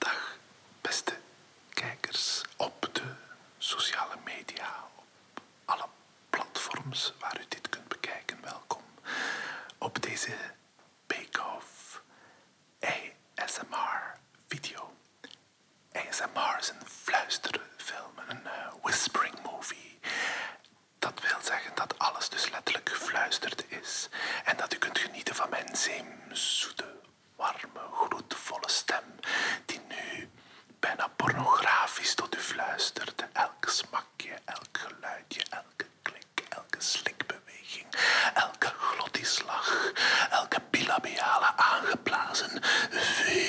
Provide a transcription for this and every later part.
Dag, beste kijkers op de sociale media, op alle platforms waar u dit kunt bekijken. Welkom op deze Bake-Off ASMR video. ASMR is een fluisterfilm, een eh, whispering movie. Dat wil zeggen dat alles dus letterlijk gefluisterd is en dat u kunt genieten van mijn zeemzoete warme, groetvolle stem die nu bijna pornografisch tot u fluisterde. Elk smakje, elk geluidje, elke klik, elke slikbeweging, elke glottislag, elke bilabiale aangeblazen v,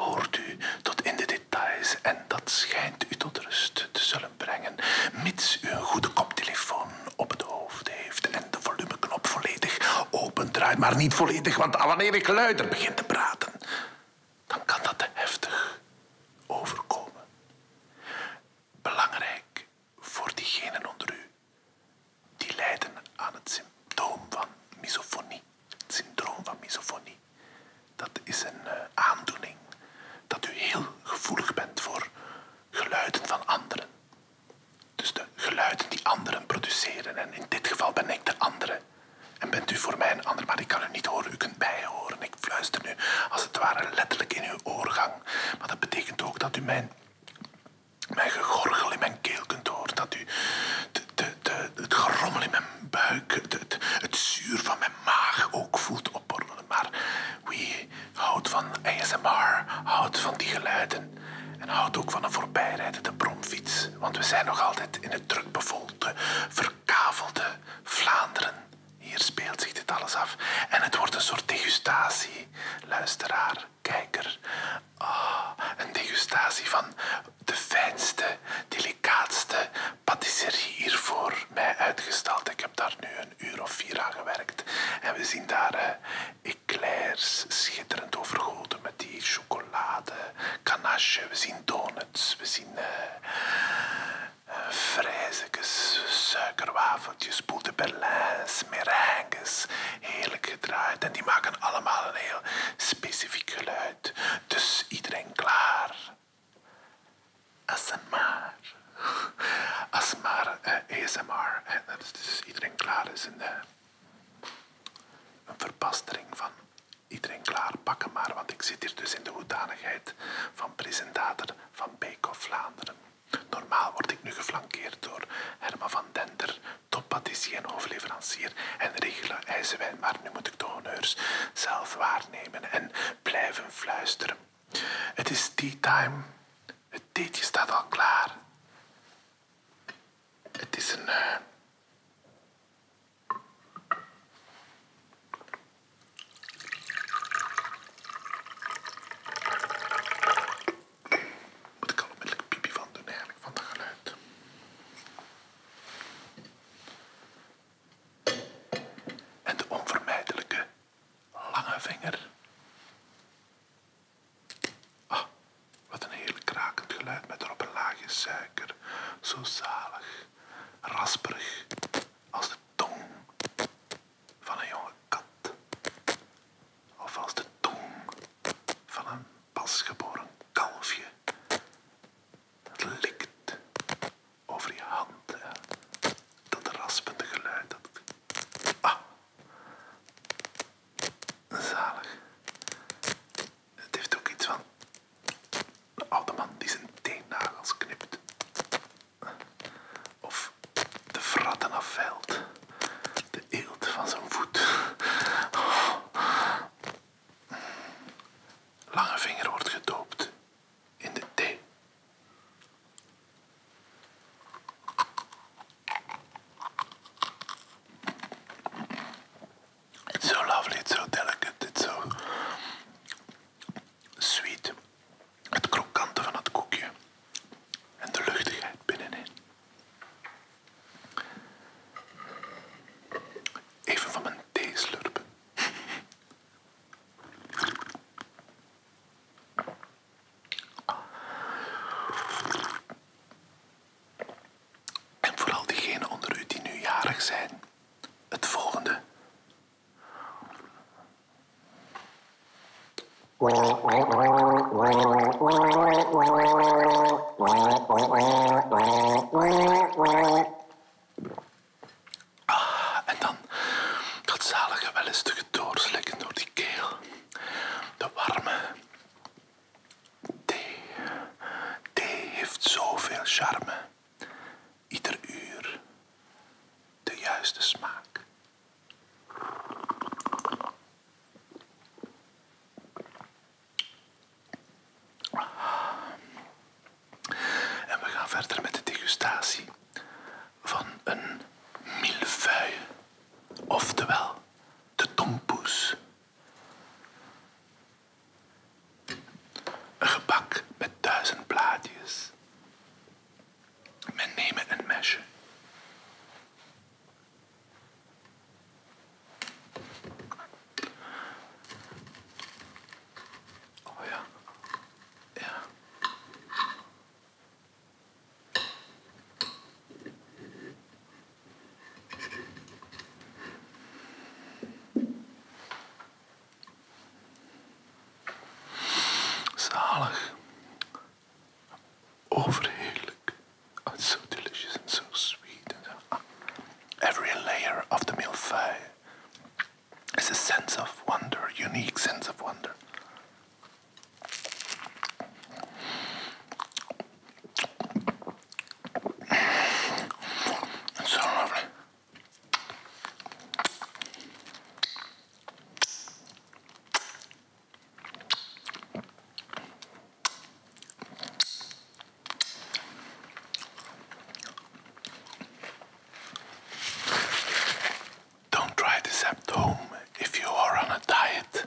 hoort u tot in de details en dat schijnt u tot rust te zullen brengen, mits u een goede koptelefoon op het hoofd heeft en de volumeknop volledig opendraait, maar niet volledig, want wanneer ik luider begin te praten, dan kan dat te heftig overkomen. Belangrijk voor diegenen onder u die lijden aan het symptoom van misofonie, het syndroom van misofonie. Dat is een eh, aandoening dat u heel gevoelig bent voor geluiden van anderen. Dus de geluiden die anderen produceren. En in dit geval ben ik de andere. En bent u voor mij een ander, maar ik kan u niet horen. U kunt bijhoren. horen. Ik fluister nu als het ware letterlijk in uw oorgang. Maar dat betekent ook dat u mijn, mijn gegorgel in mijn keel kunt horen. Dat u de, de, de, het gerommel in mijn buik, het, het zuur van mijn maag ook voelt maar wie houdt van ASMR, houdt van die geluiden en houdt ook van een voorbijrijdende bromfiets. Want we zijn nog altijd in het drukbevolkte, verkavelde Vlaanderen. Hier speelt zich dit alles af. En het wordt een soort degustatie, luisteraar, kijker. Ah, een degustatie van de fijnste, delicaatste patisserie hier voor mij uitgestald. Ik heb daar nu een uur of vier dagen gewerkt. En we zien daar eh, eclairs schitterend overgoten met die chocolade, kanasje. We zien donuts, we zien uh, eh, eh, vrijzekes, suikerwafeltjes, boete berlins, Heerlijk gedraaid. En die maken allemaal een heel specifiek geluid. Dus iedereen klaar. ASMR. ASMR, eh, ASMR. dus iedereen klaar is in de, een verbastering van iedereen klaar, pakken maar. Want ik zit hier dus in de hoedanigheid van presentator van Bake of Vlaanderen. Normaal word ik nu geflankeerd door Herman van Dender, toppatissier en hoofdleverancier en regelen ijzerwijn, maar nu moet ik de honneurs zelf waarnemen en blijven fluisteren. Het is tea time het theetje staat al klaar. Het is een. Wat eh, Moet ik al onmiddellijk pipi van doen eigenlijk, van het geluid. En de onvermijdelijke lange vinger. Oh, wat een heerlijk krakend geluid met erop een laagje suiker. Zo zalig, rasperig als de tong van een jonge kat. Of als de tong van een pasgeboren kalfje. Dat likt over je hand. Dat raspende geluid dat Ah. Zalig. Het heeft ook iets van de oude man die zijn teennagels knipt. Of de fratten afveilt. De eelt van zijn voet. Lange vinger wordt gedoopt in de thee het zo lovely, zo delicate, het so sweet. Het krokante van het koekje en de luchtigheid binnenin. Even van mijn thee slurpen. En vooral diegenen onder u die nu jarig zijn, het volgende. Ah, en dan dat zalige wel eens te doorslikken door die keel. De warme thee. Thee heeft zoveel charme. Ieder uur de juiste smaak. Ah. En we gaan verder met de degustatie van een milfeuille, oftewel de tompoes. Een gebak met duizend blaadjes. Men neemt een mesje. Oh ja. Ja. Zalig. Overheerlijk. Oh, it's so delicious and so sweet. And every layer of the milfeuille it's a sense of wonder, unique sense of wonder. It's so lovely. Don't try this at home if you are on a diet.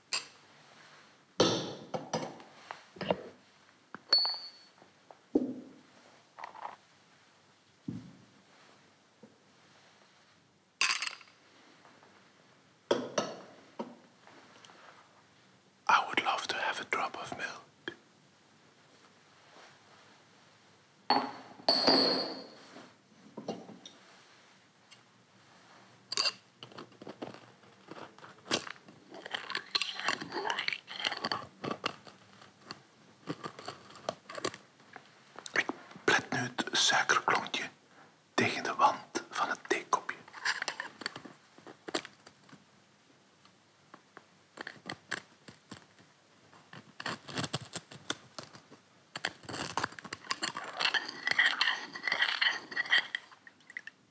I would love to have a drop of milk. Ik plet nu het suikerklontje tegen de wand van het theekopje.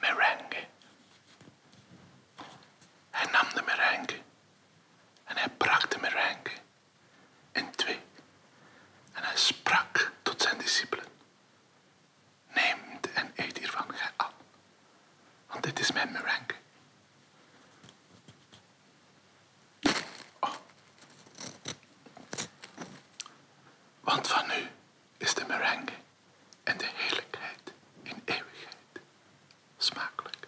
Merengue. Hij nam de merengue en hij brak de in twee en hij sprak tot zijn discipelen. Neemt en eet hiervan gij al, want dit is mijn meringue. Oh. Want van nu is de meringue en de heerlijkheid in eeuwigheid smakelijk.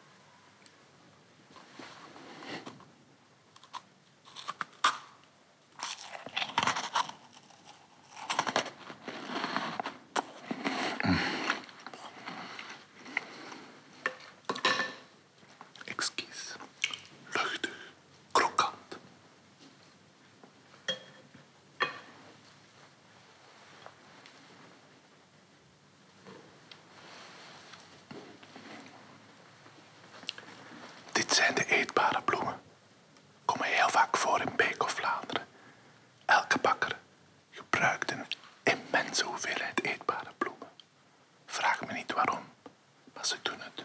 Exquis. Luchtig. Krokant. Dit zijn de eetbare bloemen komen heel vaak voor in Beek of Vlaanderen. Elke bakker gebruikt een immense hoeveelheid eetbare bloemen. Vraag me niet waarom, maar ze doen het.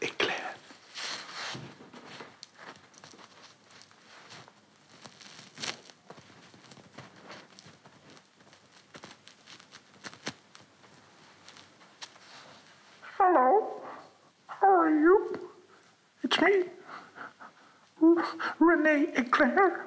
eclair. Er Hello, how are you? It's me, Renee Eclair.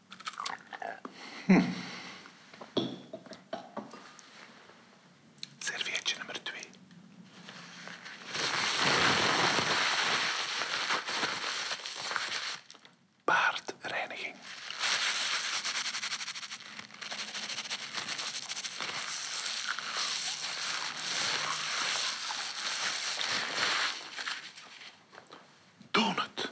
Hm. nummer twee. Paardreiniging. Donut.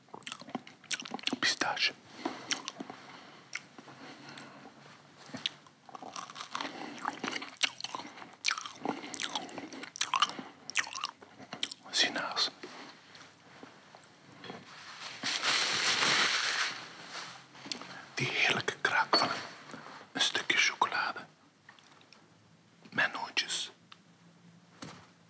pistache. Sinais. Die heerlijke kraak van een stukje chocolade. Met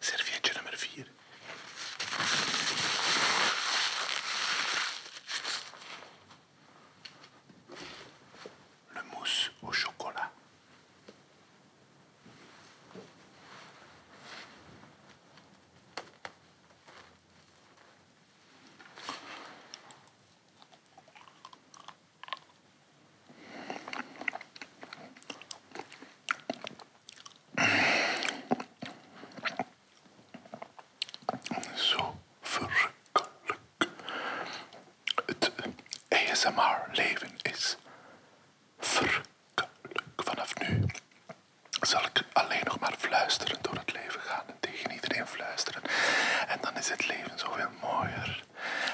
Serviette la vier. Le mousse au chocolat. Zo verrukkelijk. Het ASMR-leven is verrukkelijk. Vanaf nu zal ik alleen nog maar fluisteren door het leven gaan en tegen iedereen fluisteren. En dan is het leven zoveel mooier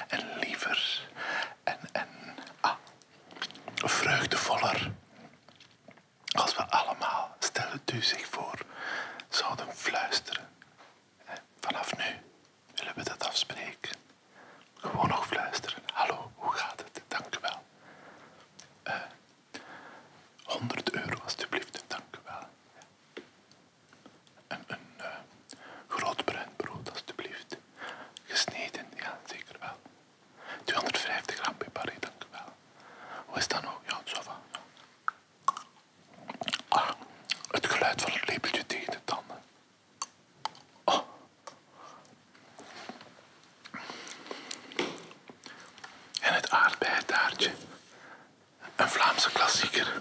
en liever en, en ah, vreugdevoller. Als we allemaal, stellen, het u zich voor, zouden fluisteren. Vanaf nu willen we dat afspreken. Gewoon nog fluisteren. Hallo, hoe gaat het? Dank u wel. 100 eh, euro alstublieft, dank u wel een, eh, groot bruin brood, alstublieft. Gesneden, ja, zeker wel. 250 gram peperé, dank u wel. Hoe is dat nou? Ja, zo ah, het geluid van het lepeltje tegen de tanden. Oh. En het aardbeitaartje, Een Vlaamse klassieker.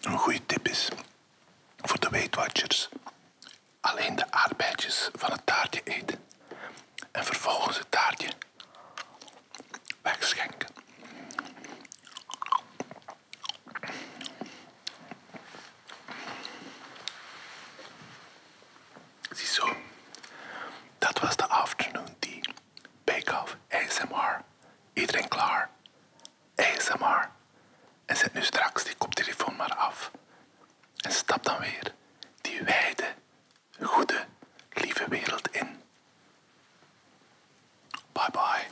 Een goede tip is voor de Weight alleen de aardbeitjes van het taartje eten en vervolgens het taartje wegschenken. Ziezo, dat was de afternoon Die Bake off, ASMR. Iedereen klaar? ASMR. En zet nu straks die koptelefoon maar af. En stap dan weer die wijde, goede, lieve wereld in. Bye bye.